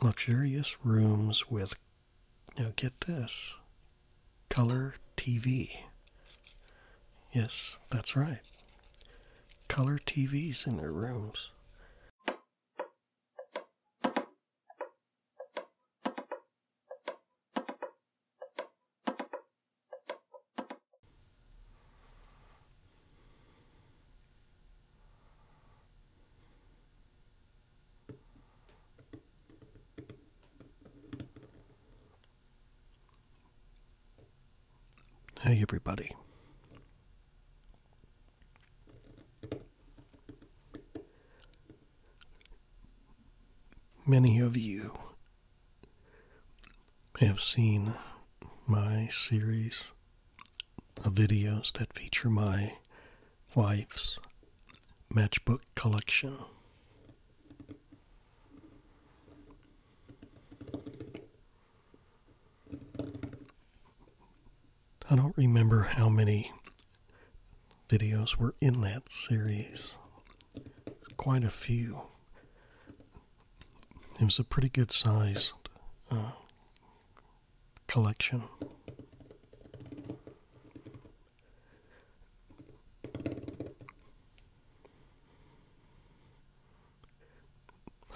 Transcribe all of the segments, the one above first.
luxurious rooms with now get this color TV. Yes, that's right. Color TVs in their rooms. Hey, everybody. Many of you have seen my series videos that feature my wife's matchbook collection. I don't remember how many videos were in that series. Quite a few. It was a pretty good sized uh, collection.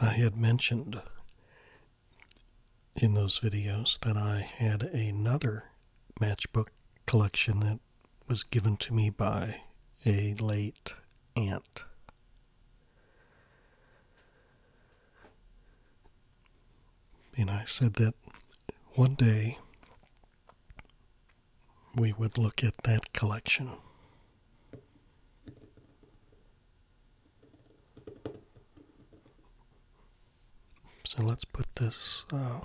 I had mentioned in those videos that I had another matchbook collection that was given to me by a late aunt. And I said that one day we would look at that collection. So let's put this uh,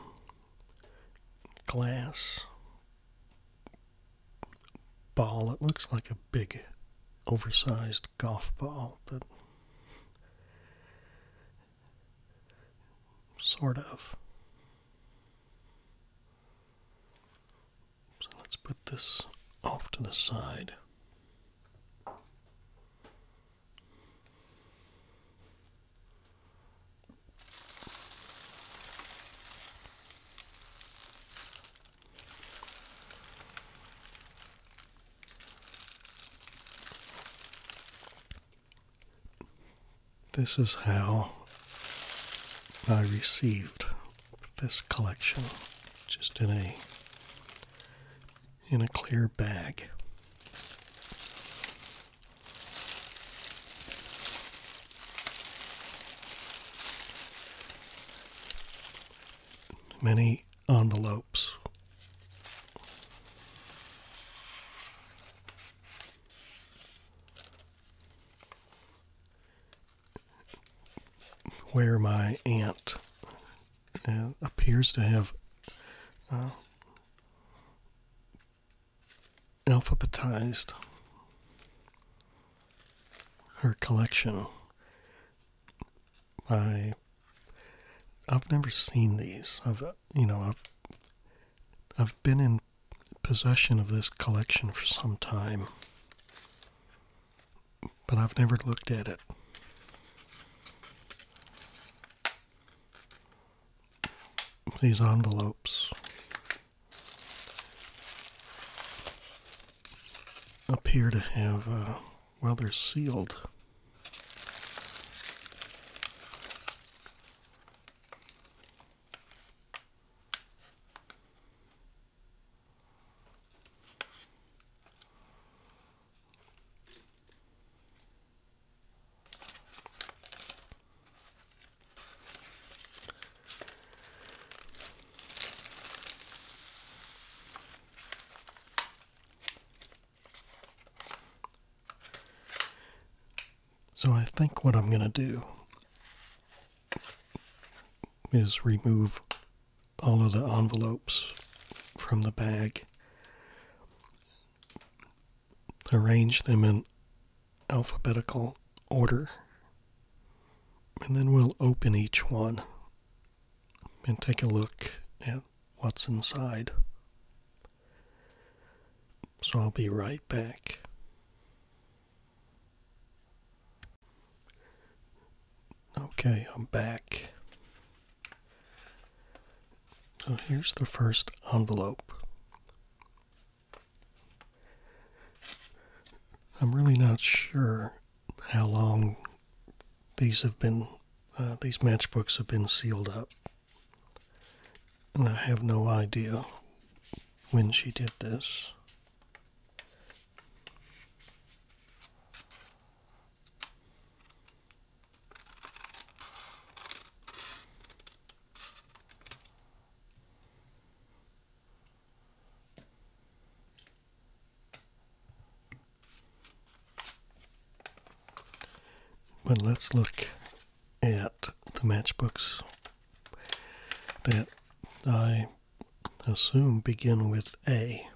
glass ball, it looks like a big, oversized golf ball, but sort of. So let's put this off to the side. This is how I received this collection just in a in a clear bag. Many on the envelopes. Where my aunt uh, appears to have uh, alphabetized her collection I I've never seen these. I've you know I've I've been in possession of this collection for some time, but I've never looked at it. These envelopes appear to have. Uh, well, they're sealed. So I think what I'm going to do is remove all of the envelopes from the bag, arrange them in alphabetical order, and then we'll open each one and take a look at what's inside. So I'll be right back. Okay, I'm back. So here's the first envelope. I'm really not sure how long these have been uh, these matchbooks have been sealed up, and I have no idea when she did this. But let's look at the matchbooks that I assume begin with A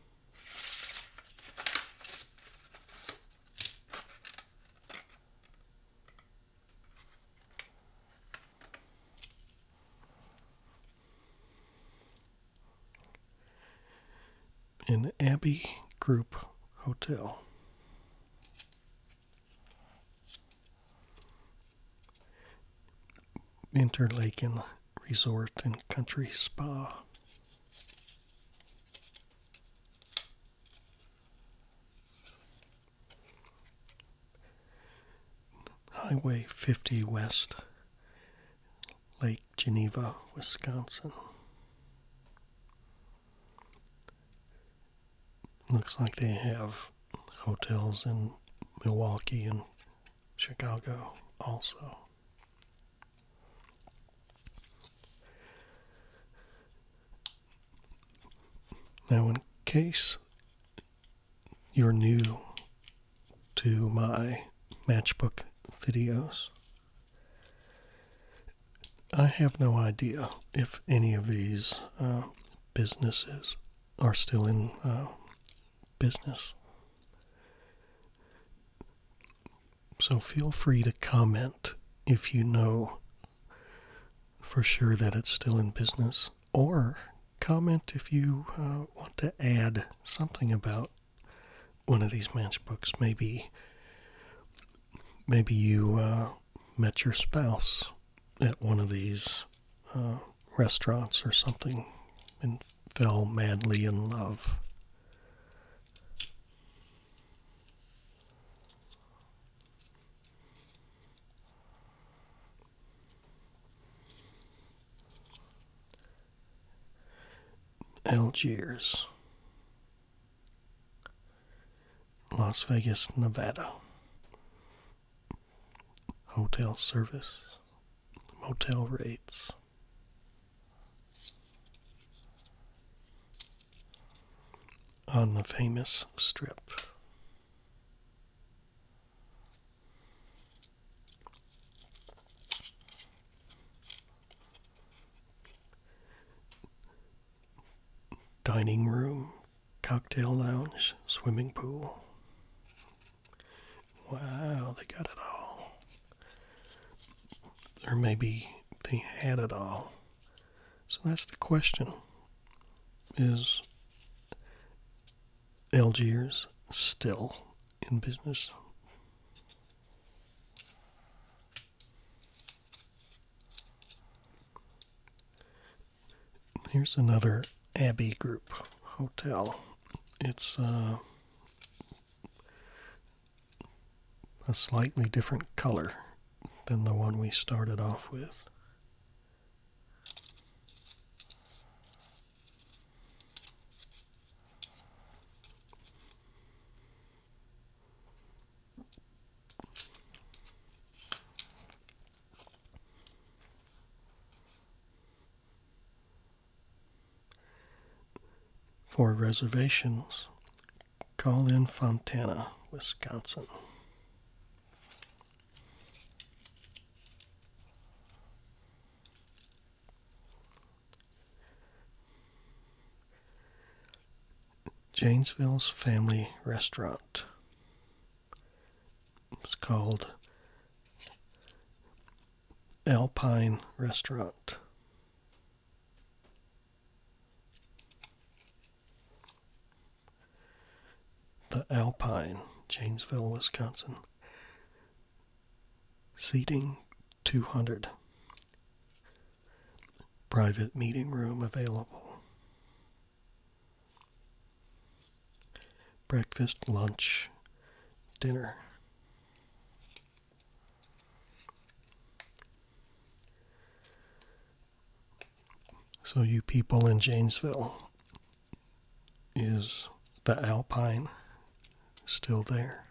an Abbey Group Hotel. Interlaken Resort and Country Spa. Highway 50 West, Lake Geneva, Wisconsin. Looks like they have hotels in Milwaukee and Chicago also. Now, in case you're new to my matchbook videos. I have no idea if any of these uh, businesses are still in uh, business. So feel free to comment if you know for sure that it's still in business, or comment if you uh, want to add something about one of these matchbooks. Maybe, maybe you uh, met your spouse at one of these uh, restaurants or something and fell madly in love. Algiers, Las Vegas, Nevada. Hotel service, motel rates. On the famous strip. Dining room, cocktail lounge, swimming pool. Wow, they got it all. Or maybe they had it all. So that's the question is Algiers still in business. Here's another Abbey Group hotel. It's uh, a slightly different color than the one we started off with. For reservations, call in Fontana, Wisconsin. Janesville's Family Restaurant. It's called Alpine Restaurant. The Alpine, Janesville, Wisconsin. Seating 200. Private meeting room available. Breakfast, lunch, dinner. So, you people in Janesville, is the Alpine still there?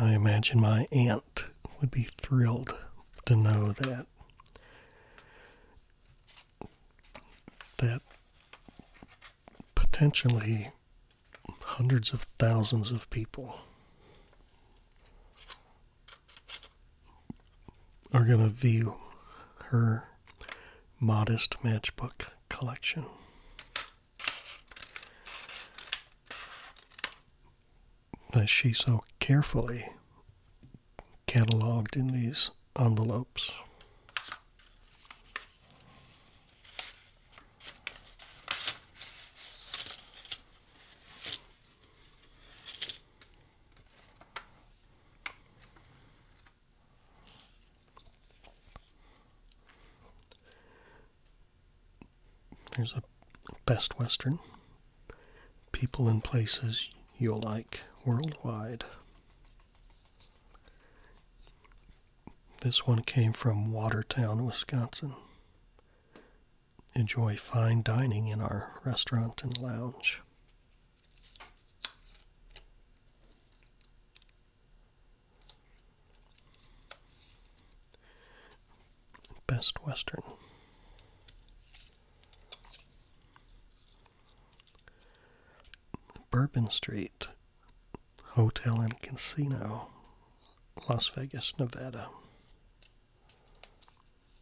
I imagine my aunt would be thrilled to know that that potentially hundreds of thousands of people are going to view her modest matchbook collection. That she so carefully cataloged in these envelopes. There's a Best Western People and Places You'll Like Worldwide. This one came from Watertown, Wisconsin enjoy fine dining in our restaurant and lounge. Best Western. Bourbon Street Hotel and Casino, Las Vegas, Nevada.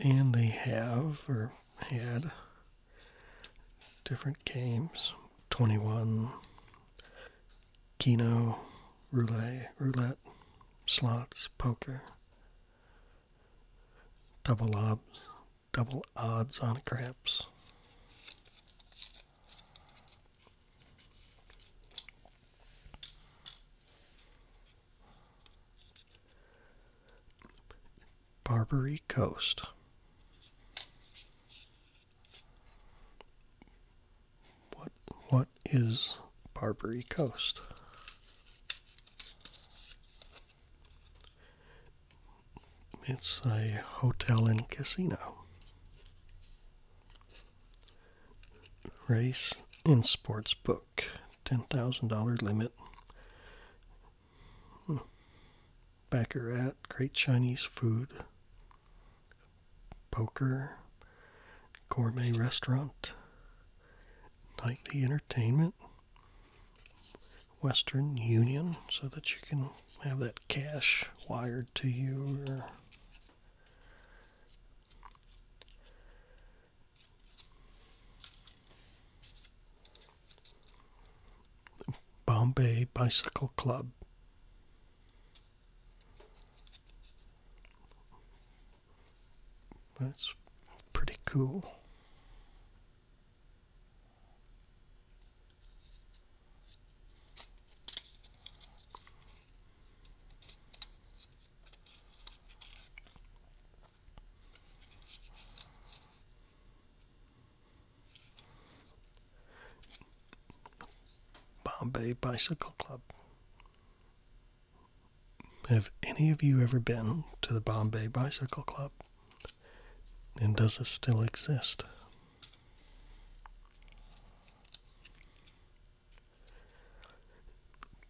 And they have or had different games 21, Keno, Roulette, roulette slots, poker, double odds, double odds on craps. Barbary Coast. What what is Barbary Coast? It's a hotel and casino. Race and sports book. $10,000 limit. Hmm. Baccarat, Great Chinese Food, Poker, Gourmet Restaurant, Nightly Entertainment, Western Union, so that you can have that cash wired to you Bombay Bicycle Club. That's pretty cool. Bombay Bicycle Club. Have any of you ever been to the Bombay Bicycle Club? And does it still exist?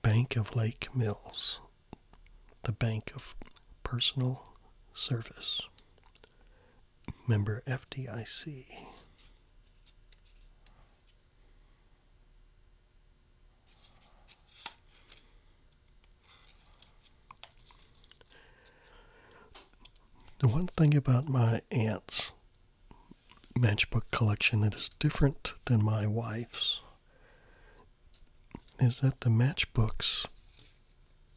Bank of Lake Mills, the Bank of Personal Service, member FDIC. The one thing about my aunt's matchbook collection that is different than my wife's is that the matchbooks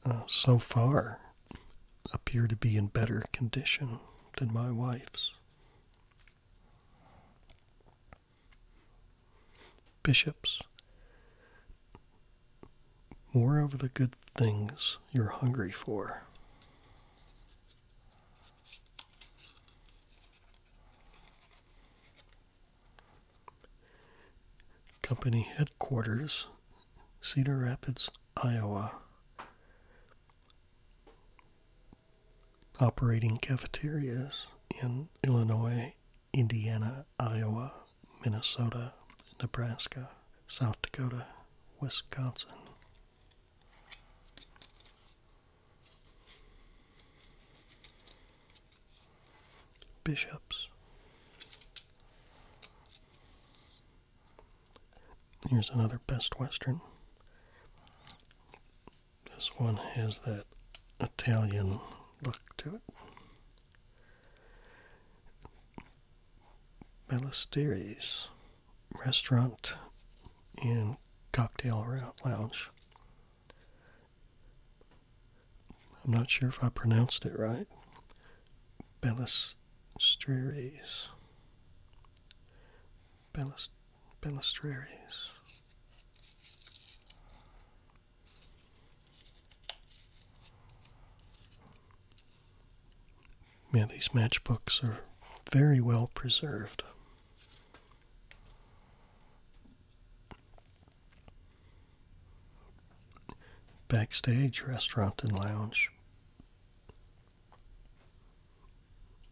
uh, so far appear to be in better condition than my wife's. Bishops, more of the good things you're hungry for. Company headquarters, Cedar Rapids, Iowa. Operating cafeterias in Illinois, Indiana, Iowa, Minnesota, Nebraska, South Dakota, Wisconsin bishops. Here's another Best Western. This one has that Italian look to it. Ballesteries Restaurant and Cocktail Lounge. I'm not sure if I pronounced it right. Bellastreeres. Belest, Belestrieri's. Yeah, these matchbooks are very well preserved. Backstage Restaurant and Lounge,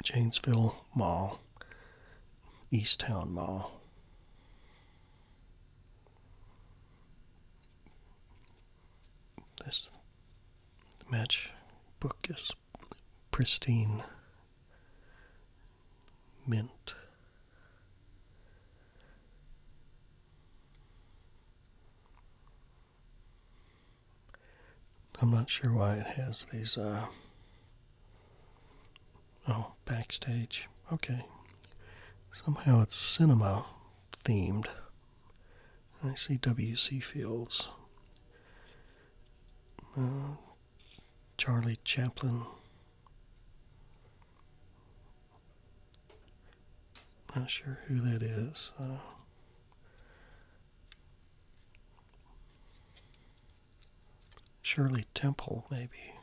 Janesville Mall, Easttown Mall. This match book pristine mint. I'm not sure why it has these. Uh, oh, backstage. Okay. Somehow it's cinema themed. I see W.C. Fields. Uh, Charlie Chaplin. Not sure who that is. Uh. Shirley Temple, maybe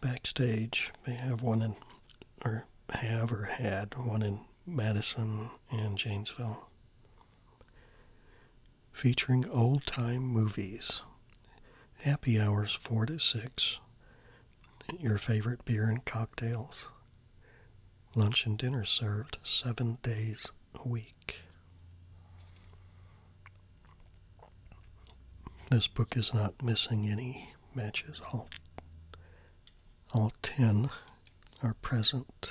backstage. They have one in, or have or had one in Madison and Janesville. Featuring old time movies, happy hours 4 to 6, your favorite beer and cocktails, lunch and dinner served seven days a week. This book is not missing any matches, all, all 10 are present.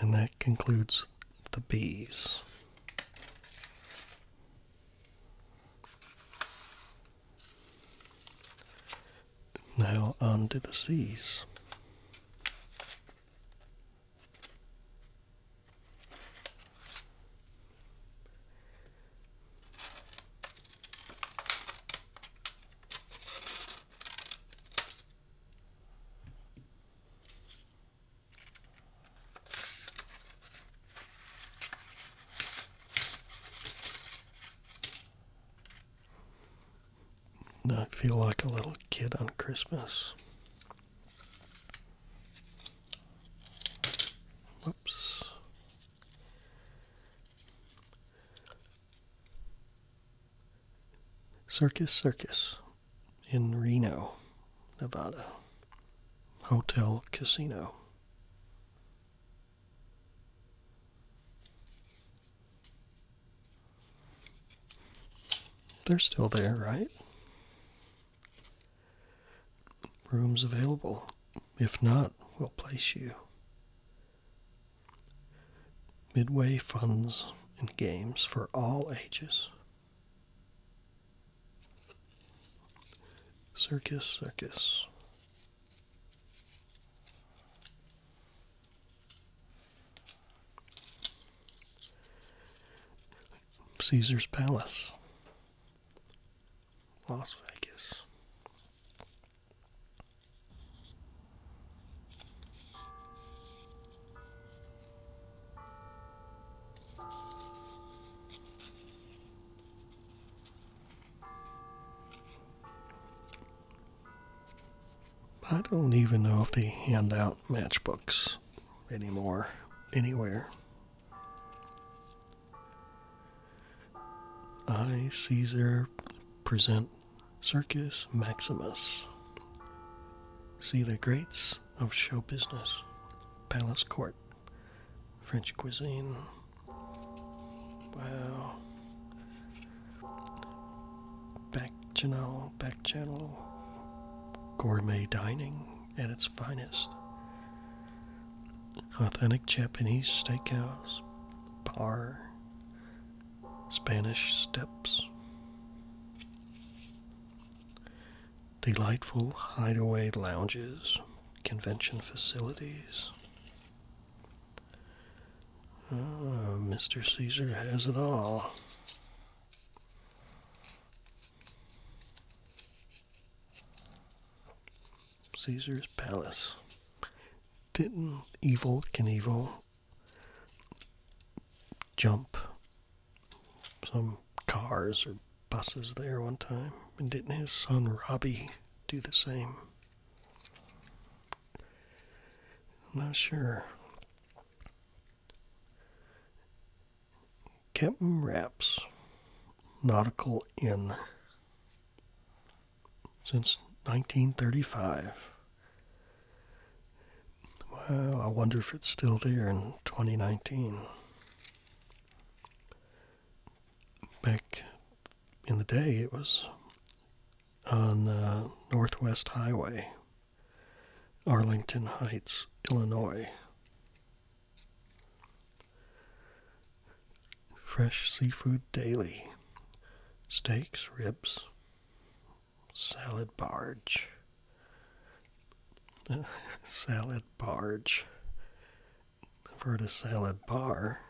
And that concludes the bees. Now on to the C's. I feel like a little kid on Christmas. Whoops. Circus Circus in Reno, Nevada. Hotel Casino. They're still there, right? Rooms available. If not, we'll place you. Midway funds and games for all ages. Circus, circus. Caesar's Palace. Las Vegas. I don't even know if they hand out matchbooks anymore anywhere. I, Caesar, present Circus Maximus. See the greats of show business, palace court, French cuisine. Wow. Back channel, back channel, gourmet dining at its finest. Authentic Japanese steakhouse, bar, Spanish steps. Delightful hideaway lounges, convention facilities. Oh, Mr. Caesar has it all. Caesar's palace. Didn't evil Knievel jump some cars or buses there one time? And didn't his son Robbie do the same? I'm not sure. Captain Raps Nautical Inn since 1935. Well, I wonder if it's still there in 2019. Back in the day, it was on the uh, Northwest Highway, Arlington Heights, Illinois. Fresh seafood daily. Steaks, ribs, salad barge. salad barge. i heard of salad bar.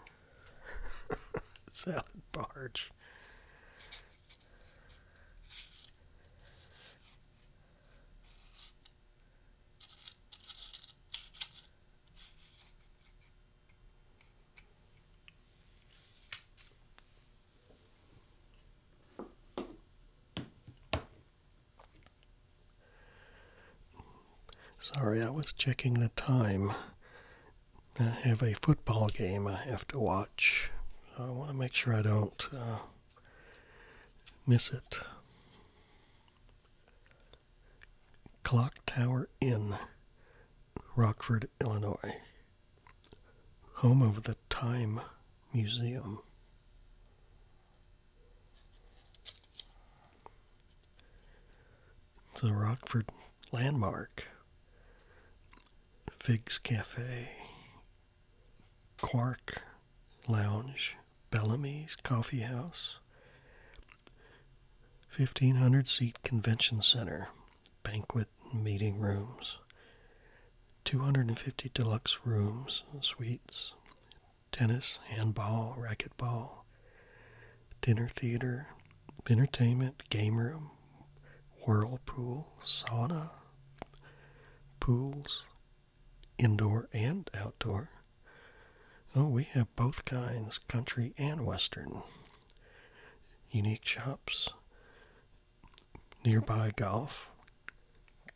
salad barge. Sorry, I was checking the time. I have a football game I have to watch. I want to make sure I don't uh, miss it. Clock Tower Inn, Rockford, Illinois, home of the Time Museum. The Rockford Landmark, Figs Cafe, Quark Lounge, Bellamy's Coffee House, 1,500 seat convention center, banquet and meeting rooms, 250 deluxe rooms and suites, tennis, handball, racquetball, dinner theater, entertainment, game room, whirlpool, sauna, pools, indoor and outdoor. Oh, we have both kinds, country and western. Unique shops, nearby golf,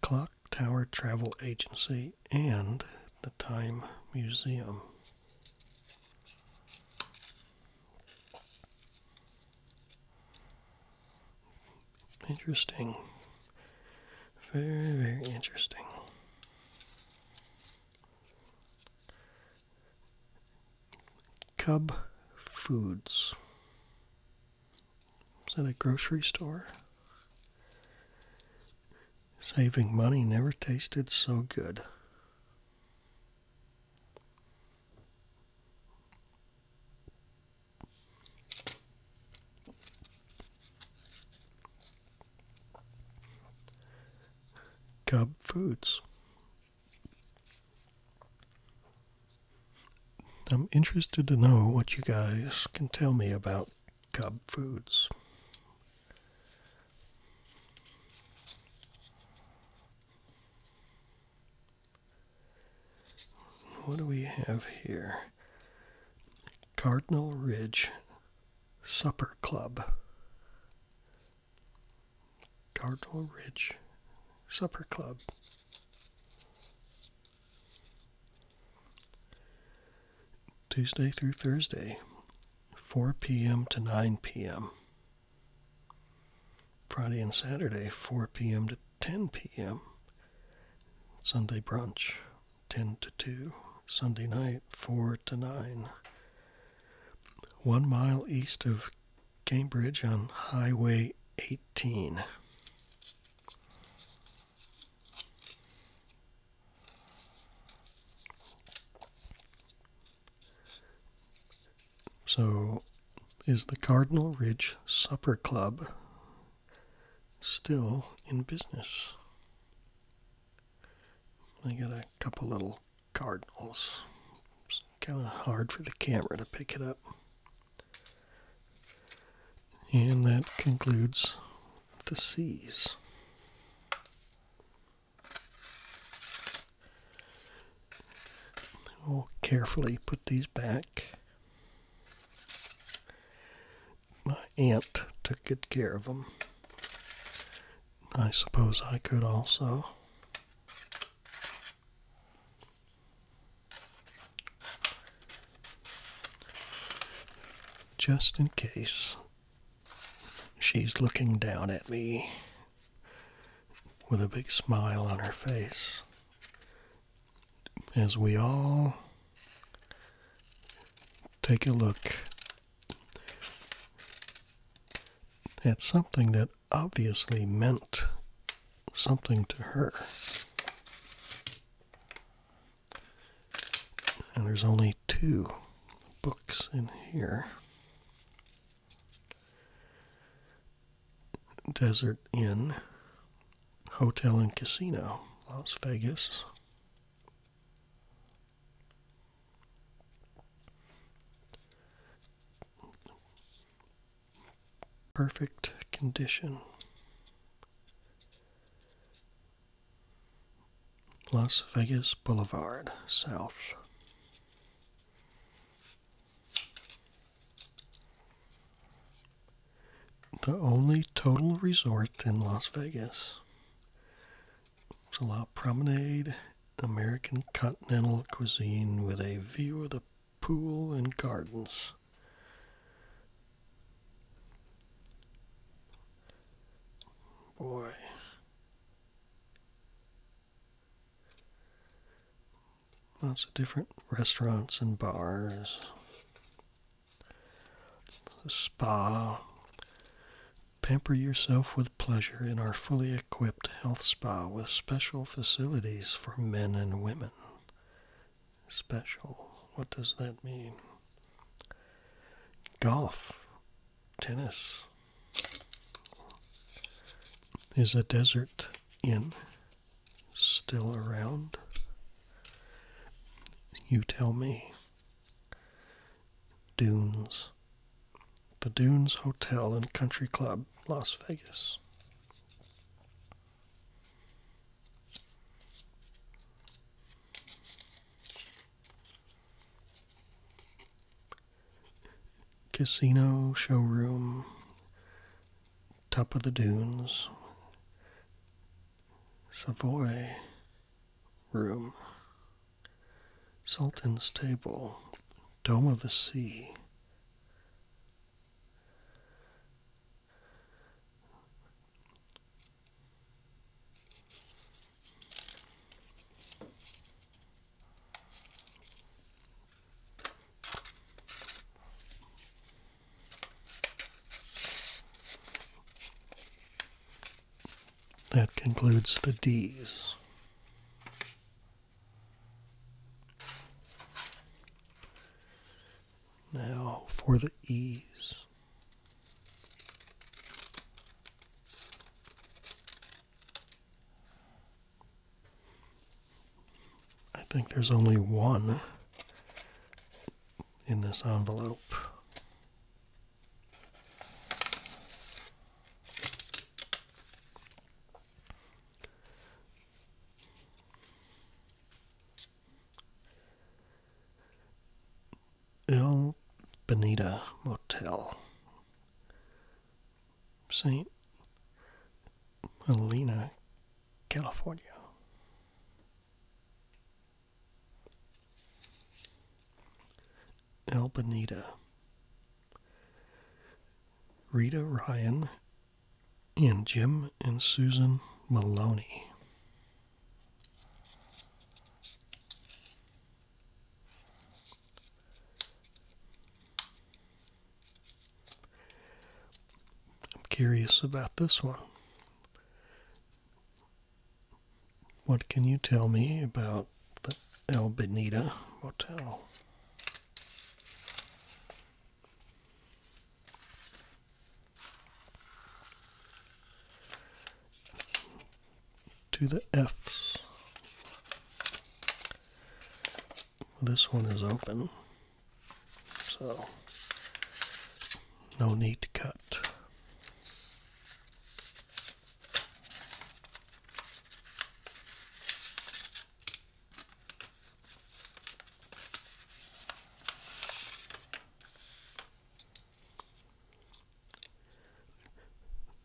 clock tower travel agency, and the Time Museum. Interesting. Very, very interesting. Cub Foods. Is that a grocery store? Saving money never tasted so good. Cub Foods. I'm interested to know what you guys can tell me about Cub Foods. What do we have here? Cardinal Ridge Supper Club. Cardinal Ridge Supper Club. Tuesday through Thursday, 4 p.m. to 9 p.m. Friday and Saturday, 4 p.m. to 10 p.m. Sunday brunch, 10 to 2, Sunday night 4 to 9. One mile east of Cambridge on Highway 18. So, is the Cardinal Ridge Supper Club still in business? I got a couple little cardinals. It's kind of hard for the camera to pick it up. And that concludes the C's. I'll carefully put these back my aunt took good care of them. I suppose I could also. Just in case she's looking down at me with a big smile on her face, as we all take a look at something that obviously meant something to her. And there's only two books in here Desert Inn, Hotel and Casino, Las Vegas, Perfect condition. Las Vegas Boulevard, South. The only total resort in Las Vegas. It's a lot. Promenade, American continental cuisine with a view of the pool and gardens. Boy. Lots of different restaurants and bars spa. Pamper yourself with pleasure in our fully equipped health spa with special facilities for men and women. Special. What does that mean? Golf, tennis is a desert inn still around? You tell me. Dunes. The Dunes Hotel and Country Club, Las Vegas. Casino Showroom, Top of the Dunes, Savoy room, Sultan's table, Dome of the Sea. That concludes the D's. Now for the E's. I think there's only one in this envelope. El Bonita Motel, St. Helena, California. Albanita. Rita Ryan and Jim and Susan Maloney. I'm curious about this one. What can you tell me about the El Benita Motel? To the F. This one is open, so no need to cut.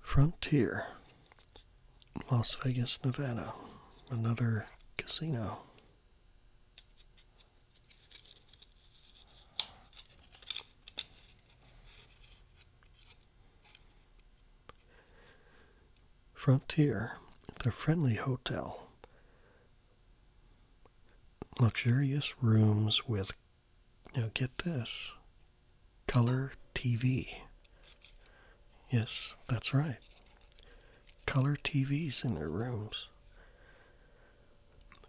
Frontier, Las Vegas, Nevada, another casino. Frontier, the friendly hotel. Luxurious rooms with, now get this, color TV. Yes, that's right. Color TVs in their rooms.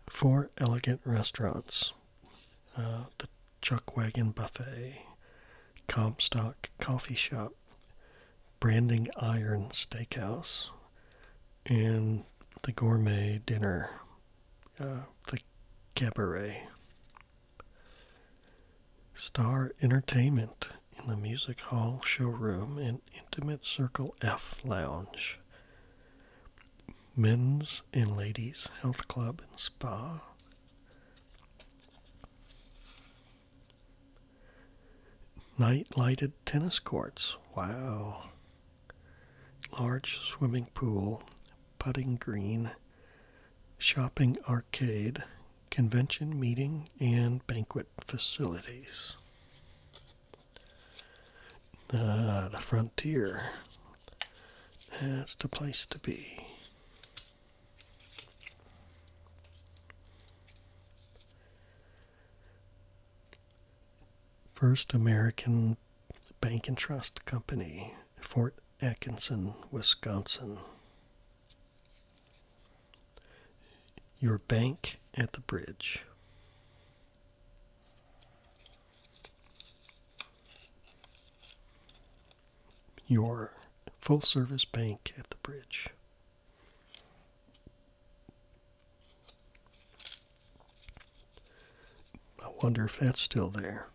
Four elegant restaurants uh, the Chuckwagon Buffet, Comstock Coffee Shop, Branding Iron Steakhouse, and the Gourmet Dinner, uh, the Cabaret. Star Entertainment in the Music Hall Showroom and Intimate Circle F Lounge men's and ladies' health club and spa. Night lighted tennis courts. Wow. Large swimming pool, putting green, shopping arcade, convention meeting, and banquet facilities the frontier. That's the place to be. First American Bank and Trust Company, Fort Atkinson, Wisconsin. Your bank at the bridge your full service bank at the bridge. I wonder if that's still there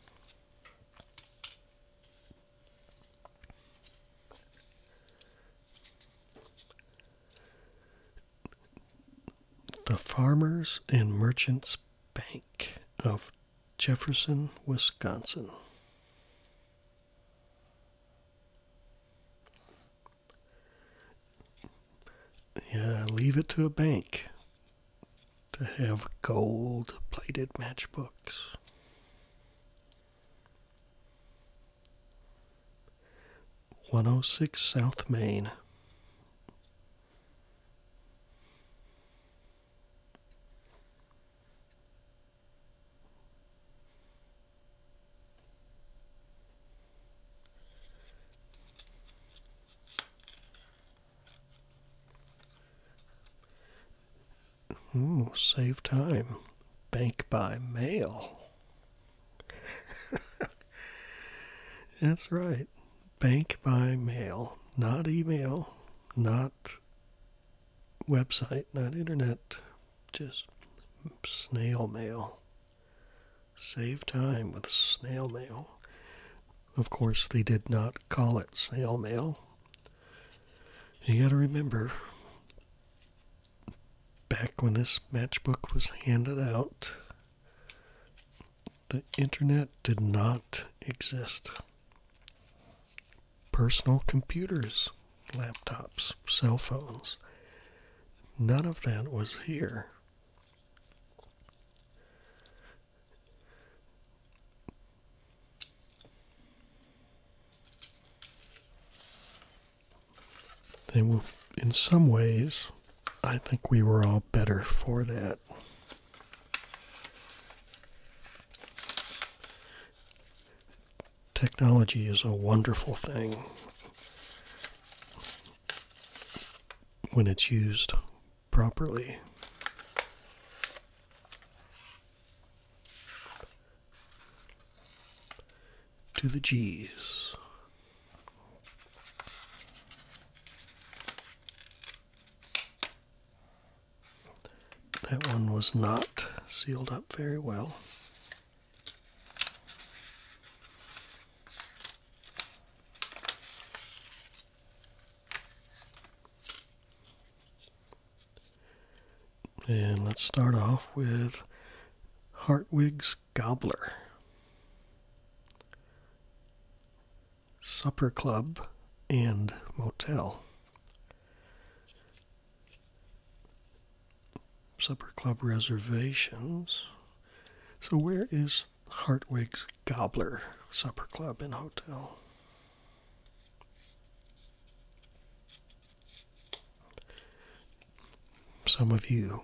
the Farmers and Merchants Bank of Jefferson, Wisconsin. Yeah, leave it to a bank to have gold plated matchbooks. 106 South Main. Ooh, save time. Bank by mail. That's right. Bank by mail, not email, not website, not internet, just snail mail. Save time with snail mail. Of course, they did not call it snail mail. You got to remember, back when this matchbook was handed out, the internet did not exist. Personal computers, laptops, cell phones, none of that was here. They were, in some ways, I think we were all better for that. Technology is a wonderful thing when it's used properly. To the G's. That one was not sealed up very well. And let's start off with Hartwig's Gobbler. Supper Club and Motel. Supper Club reservations. So, where is Hartwig's Gobbler Supper Club and Hotel? Some of you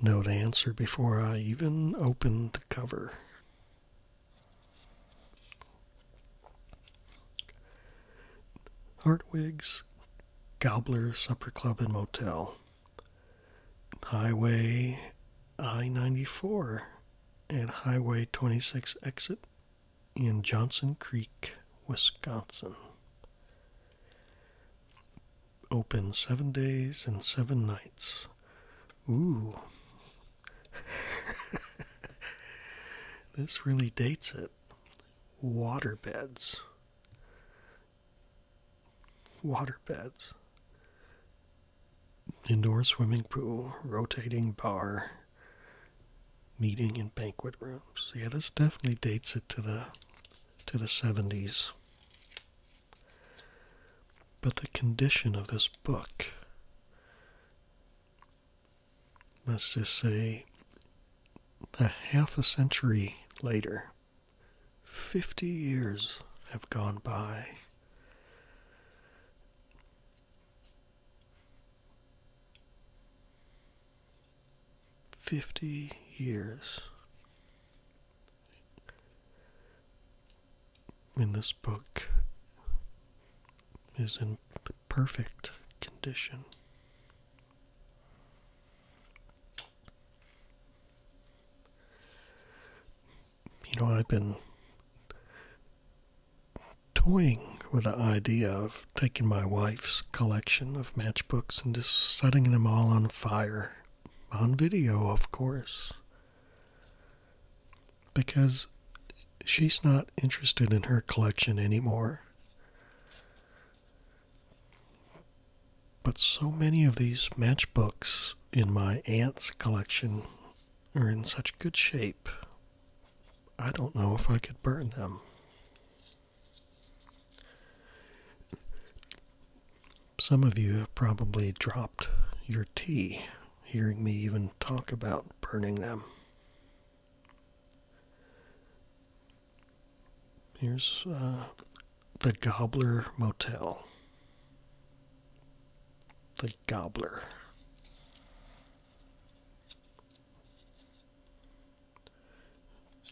know the answer before I even open the cover. Hartwig's Gobbler Supper Club and Motel, Highway I 94 and Highway 26 exit in Johnson Creek, Wisconsin open seven days and seven nights. Ooh. this really dates it. Waterbeds. Waterbeds. Indoor swimming pool, rotating bar, meeting and banquet rooms. Yeah, this definitely dates it to the to the 70s. But the condition of this book, must us say a half a century later, 50 years have gone by. Fifty years in this book is in perfect condition. You know, I've been toying with the idea of taking my wife's collection of matchbooks and just setting them all on fire on video, of course. Because she's not interested in her collection anymore. But so many of these matchbooks in my aunt's collection are in such good shape, I don't know if I could burn them. Some of you have probably dropped your tea hearing me even talk about burning them. Here's uh, the Gobbler Motel. The Gobbler.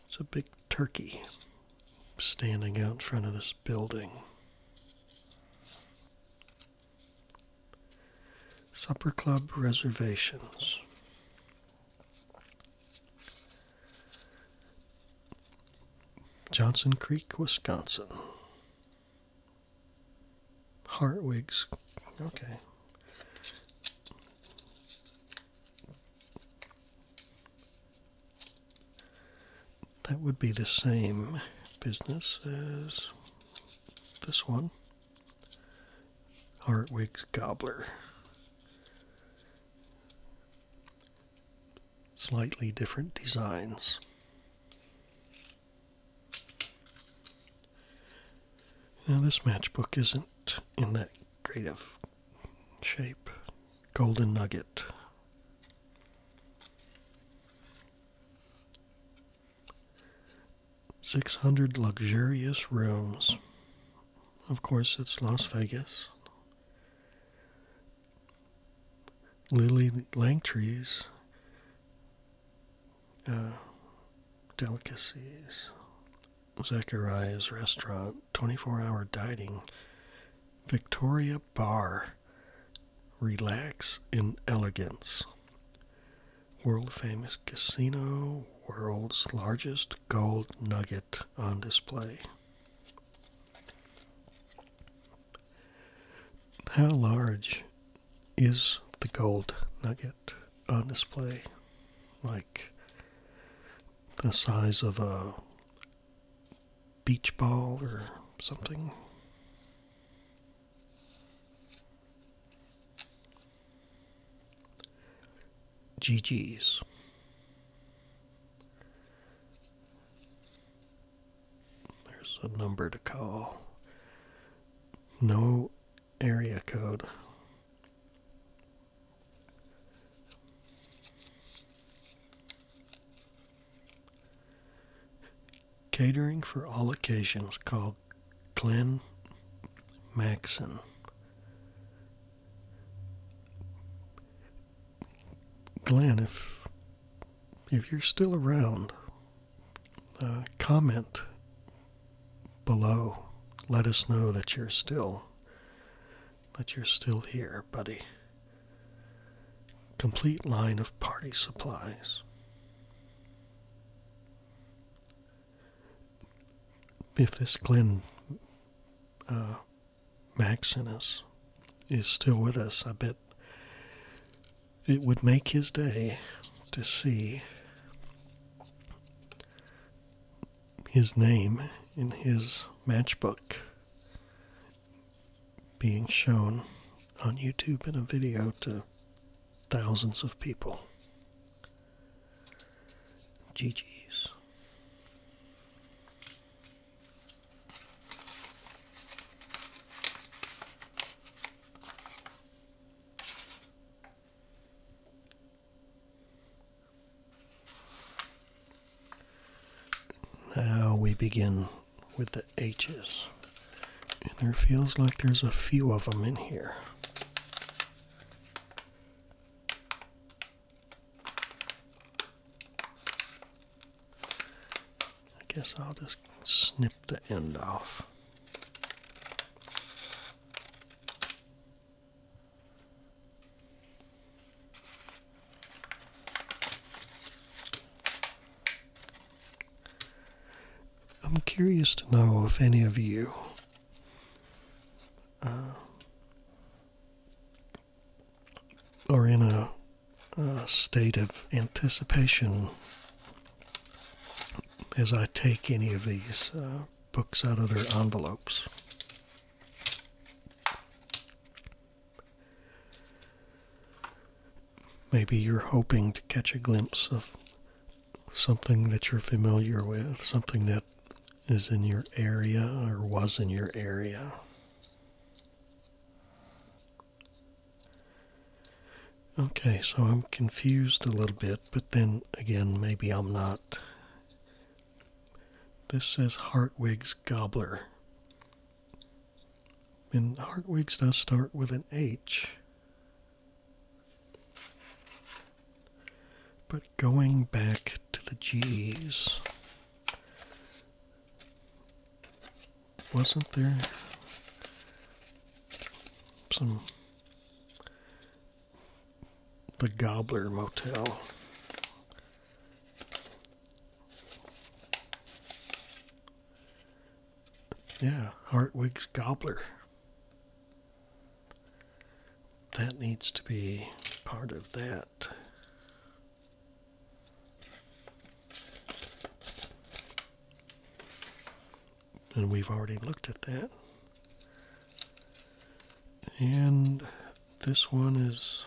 It's a big turkey standing out in front of this building. Supper Club reservations. Johnson Creek, Wisconsin. Hartwigs. Okay that would be the same business as this one Hartwig's Gobbler. Slightly different designs. Now, this matchbook isn't in that great of shape golden nugget. Six hundred luxurious rooms. Of course, it's Las Vegas. Lily Langtry's, uh, delicacies. Zachariah's restaurant. 24 hour dining, Victoria Bar, Relax in Elegance. World famous casino, world's largest gold nugget on display. How large is the gold nugget on display? Like the size of a beach ball or something. GG's. There's a number to call. No area code. Catering for all occasions called Glen Maxon. Glenn, if if you're still around, uh, comment below. Let us know that you're still but you're still here, buddy. Complete line of party supplies. If this Glenn uh, Maxinus is still with us, I bet it would make his day to see his name in his matchbook being shown on YouTube in a video to thousands of people. GG's. Now we begin with the H's. And there feels like there's a few of them in here. I guess I'll just snip the end off. I'm curious to know if any of you uh, are in a, state of anticipation as I take any of these uh, books out of their envelopes. Maybe you're hoping to catch a glimpse of something that you're familiar with, something that is in your area or was in your area. Okay, so I'm confused a little bit, but then again, maybe I'm not. This says Hartwig's Gobbler. In Hartwig's I start with an H. But going back to the G's, wasn't there some the Gobbler Motel yeah, Hartwig's Gobbler. That needs to be part of that. And we've already looked at that. And this one is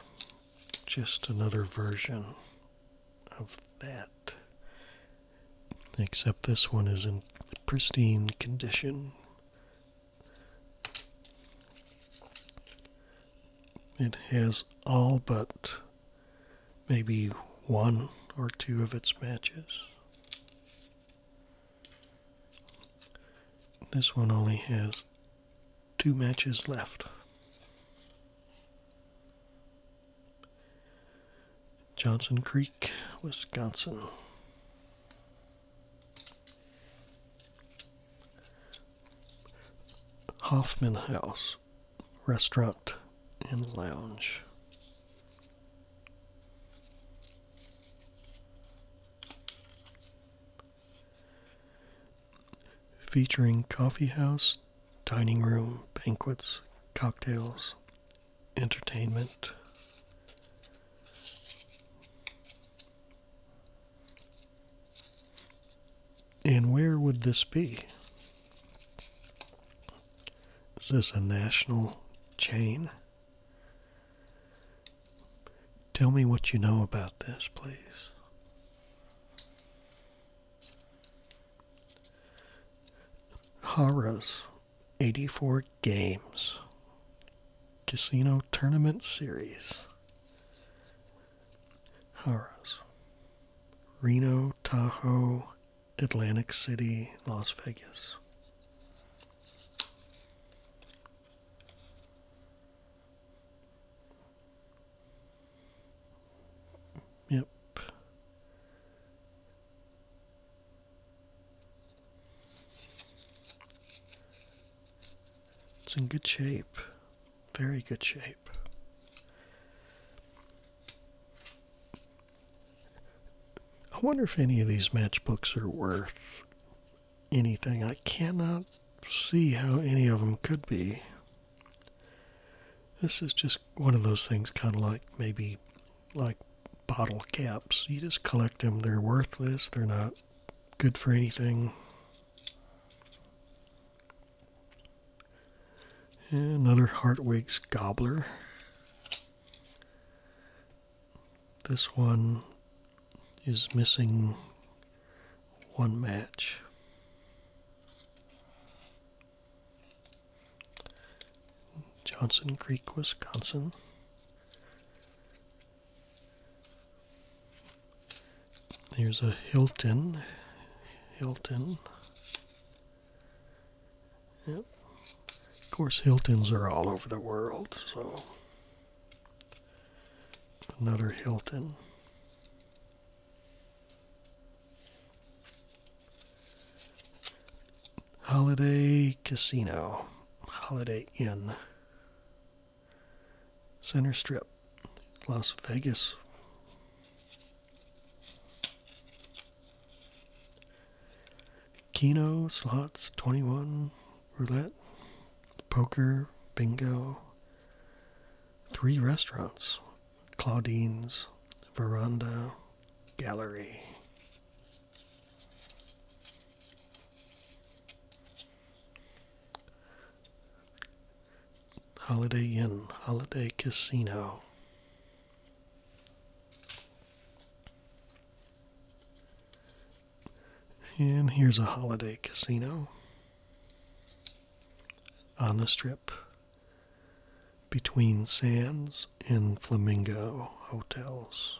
just another version of that. Except this one is in pristine condition. It has all but maybe one or two of its matches. This one only has two matches left. Johnson Creek, Wisconsin. Hoffman House, restaurant and lounge featuring coffee house, dining room, banquets, cocktails, entertainment. And where would this be? Is this a national chain? Tell me what you know about this, please. Haras, 84 games. Casino Tournament Series. Haras. Reno, Tahoe, Atlantic City, Las Vegas. Yep. It's in good shape. Very good shape. I wonder if any of these matchbooks are worth anything. I cannot see how any of them could be. This is just one of those things, kind of like maybe like bottle caps. You just collect them, they're worthless, they're not good for anything. another Hartwig's Gobbler. This one is missing one match. Johnson Creek, Wisconsin. Here's a Hilton. Hilton. Yep. Of course, Hiltons are all over the world, so another Hilton. Holiday Casino, Holiday Inn, Center Strip, Las Vegas. Keno, slots, 21, roulette, poker, bingo, three restaurants Claudine's, Veranda, Gallery. Holiday Inn, Holiday Casino. And here's a holiday casino on the strip between Sands and Flamingo hotels.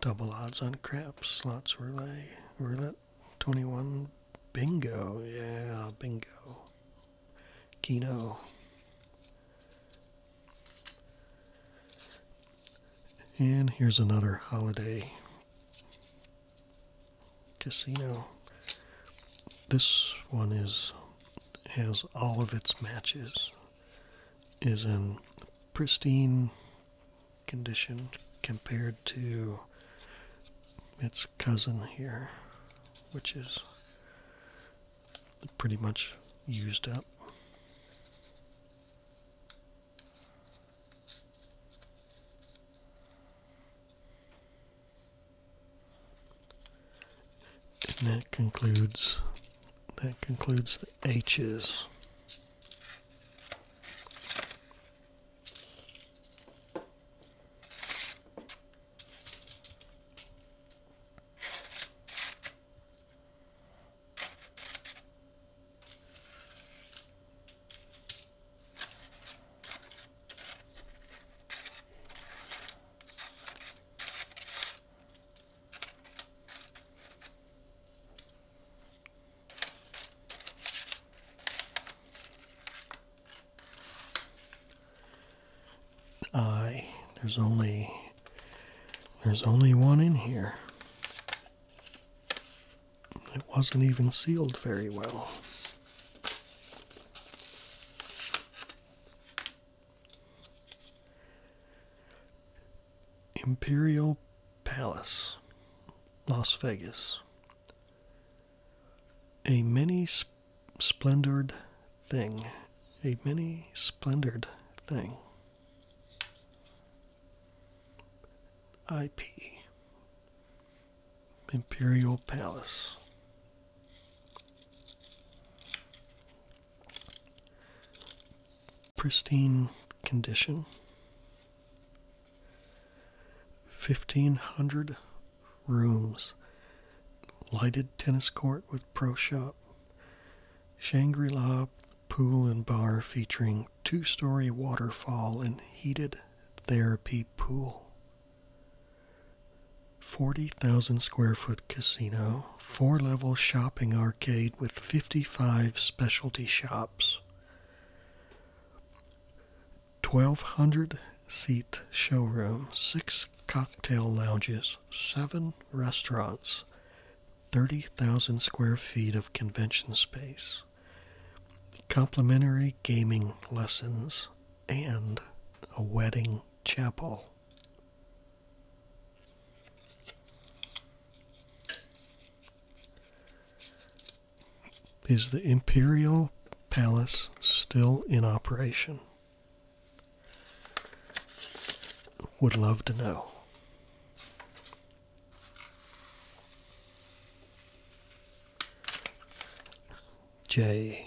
Double odds on craps, slots were they? Were that, 21, bingo, yeah, bingo, keno. And here's another holiday casino. This one is has all of its matches is in pristine condition compared to its cousin here, which is pretty much used up. And that concludes that concludes the H's. I there's only there's only one in here. It wasn't even sealed very well. Imperial Palace, Las Vegas. A mini sp splendored thing. A many splendored thing. IP Imperial Palace. Pristine condition. 1500 rooms. Lighted tennis court with pro shop. Shangri La pool and bar featuring two story waterfall and heated therapy pool. 40,000 square foot casino, four level shopping arcade with 55 specialty shops. 1200 seat showroom, six cocktail lounges, seven restaurants, 30,000 square feet of convention space workshops, complimentary gaming lessons, and a wedding chapel. Is the Imperial Palace still in operation? Would love to know. J.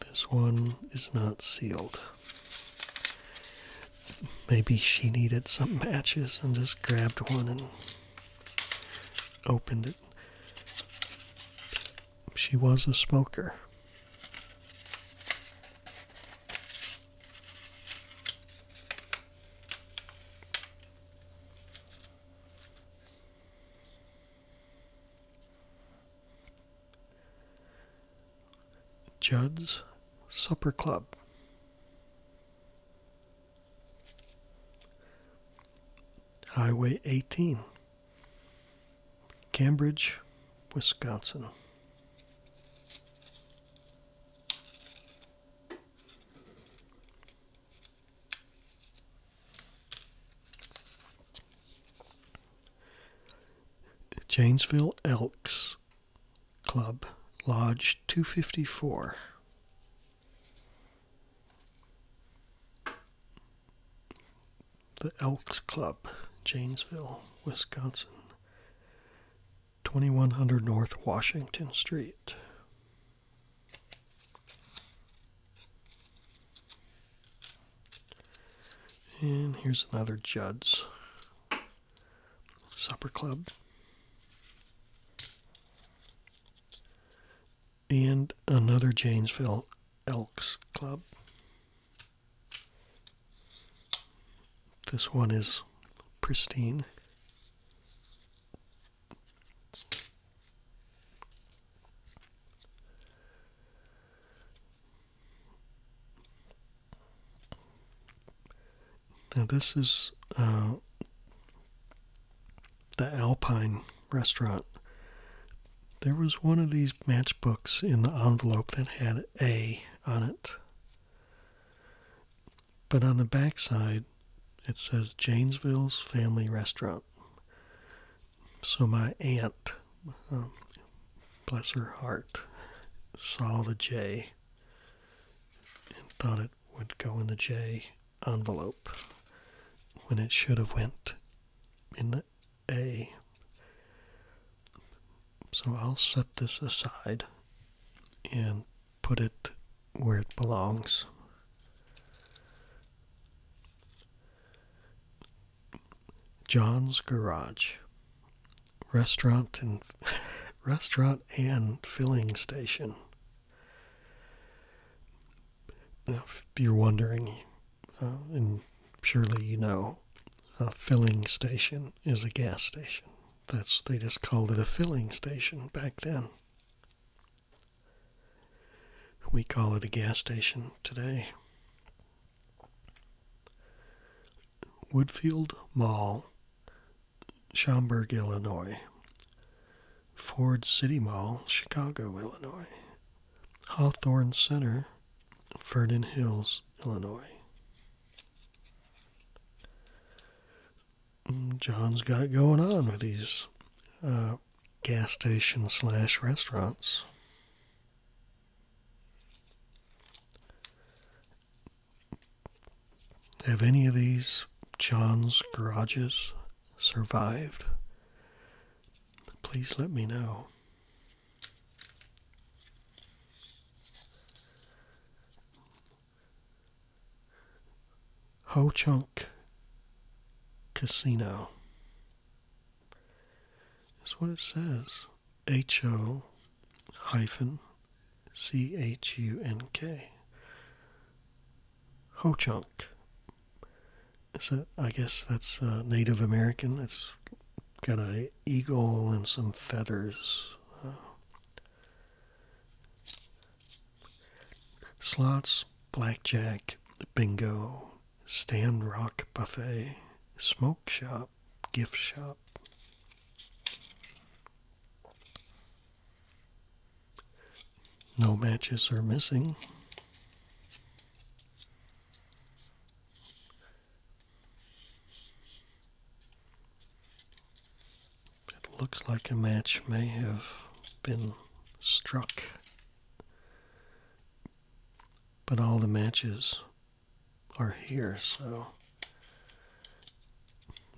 This one is not sealed. Maybe she needed some matches and just grabbed one and opened it she was a smoker. Judd's Supper Club. Highway 18 Cambridge, Wisconsin. Janesville Elks Club, Lodge 254 the Elks Club, Janesville, Wisconsin. 2100 North Washington Street. And here's another Judd's Supper Club. And another Janesville Elks Club. This one is pristine. Now, this is uh, the Alpine restaurant there was one of these matchbooks in the envelope that had A on it. But on the back side, it says Janesville's Family Restaurant. So my aunt, um, bless her heart, saw the J and thought it would go in the J envelope when it should have went in the a. So I'll set this aside and put it where it belongs. John's Garage restaurant and restaurant and filling station. If you're wondering, uh, and surely you know, a filling station is a gas station. That's they just called it a filling station back then. We call it a gas station today. Woodfield Mall, Schaumburg, Illinois. Ford City Mall, Chicago, Illinois. Hawthorne Center, Vernon Hills, Illinois. Mm, John's got it going on with these uh, gas station slash restaurants. Have any of these John's garages survived? Please let me know. Ho Chunk Casino is what it says. H O hyphen C H U N K. Ho Chunk. Is that, I guess that's uh, Native American. It's got a eagle and some feathers. Uh, slots, blackjack, bingo, stand rock buffet, smoke shop, gift shop. No matches are missing. It looks like a match may have been struck, but all the matches are here, so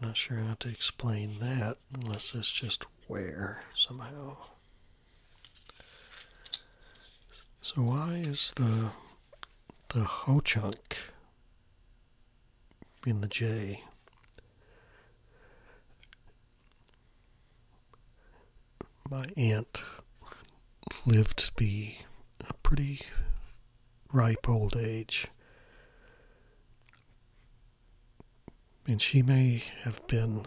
I'm not sure how to explain that unless it's just where somehow. So why is the the whole chunk in the J. My aunt lived to be a pretty ripe old age. And she may have been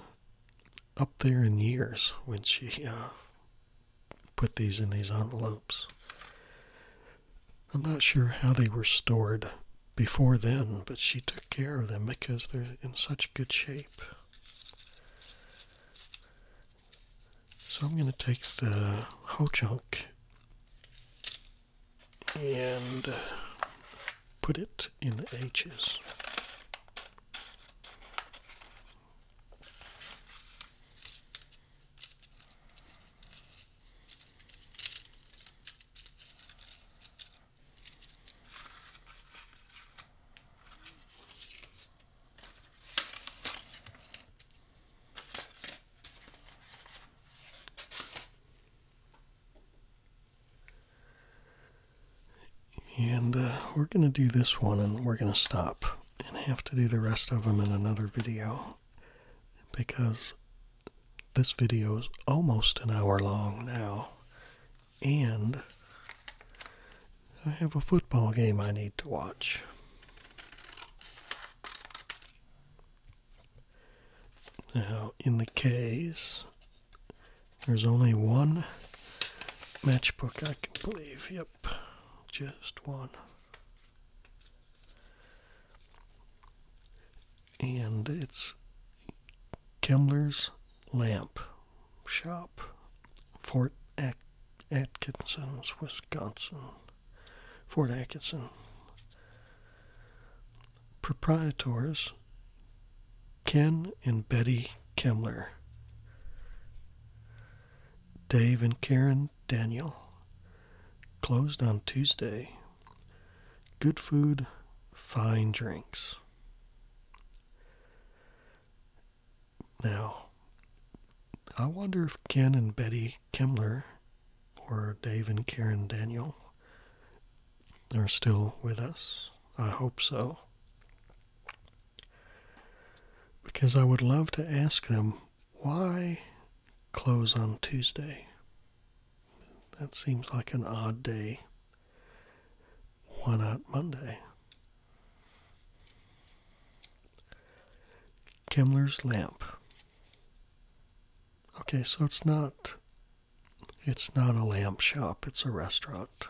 up there in years when she uh, put these in these envelopes. I'm not sure how they were stored before then, but she took care of them because they're in such good shape. So I'm going to take the ho chunk and put it in the H's. And uh, we're going to do this one and we're going to stop and have to do the rest of them in another video because this video is almost an hour long now, and I have a football game I need to watch. Now, in the case, there's only one matchbook I can believe. Yep, just one. And it's Kemmler's Lamp Shop, Fort Atkinson, Wisconsin. Fort Atkinson. Proprietors Ken and Betty Kemmler. Dave and Karen Daniel. Closed on Tuesday. Good food, fine drinks. Now, I wonder if Ken and Betty Kemmler or Dave and Karen Daniel are still with us. I hope so. Because I would love to ask them why close on Tuesday? That seems like an odd day. Why not Monday? Kimmler's lamp. Okay, so it's not it's not a lamp shop, it's a restaurant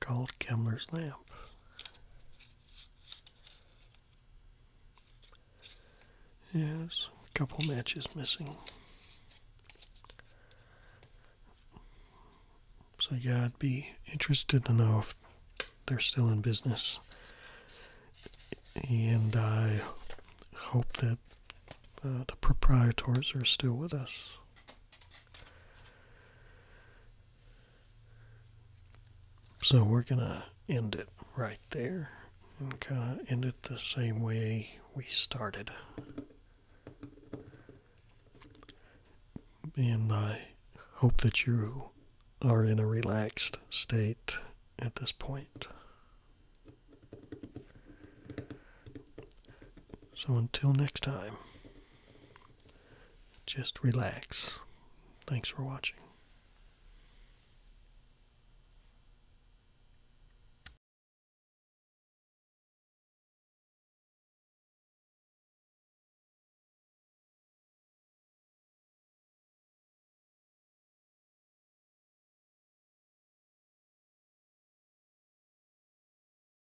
called Kemmler's Lamp. Yes, a couple matches missing. So, yeah, I'd be interested to know if they're still in business. And I hope that uh, the proprietors are still with us. So we're going to end it right there and kind of end it the same way we started. And I hope that you are in a relaxed state at this point. So until next time. Just relax. Thanks for watching.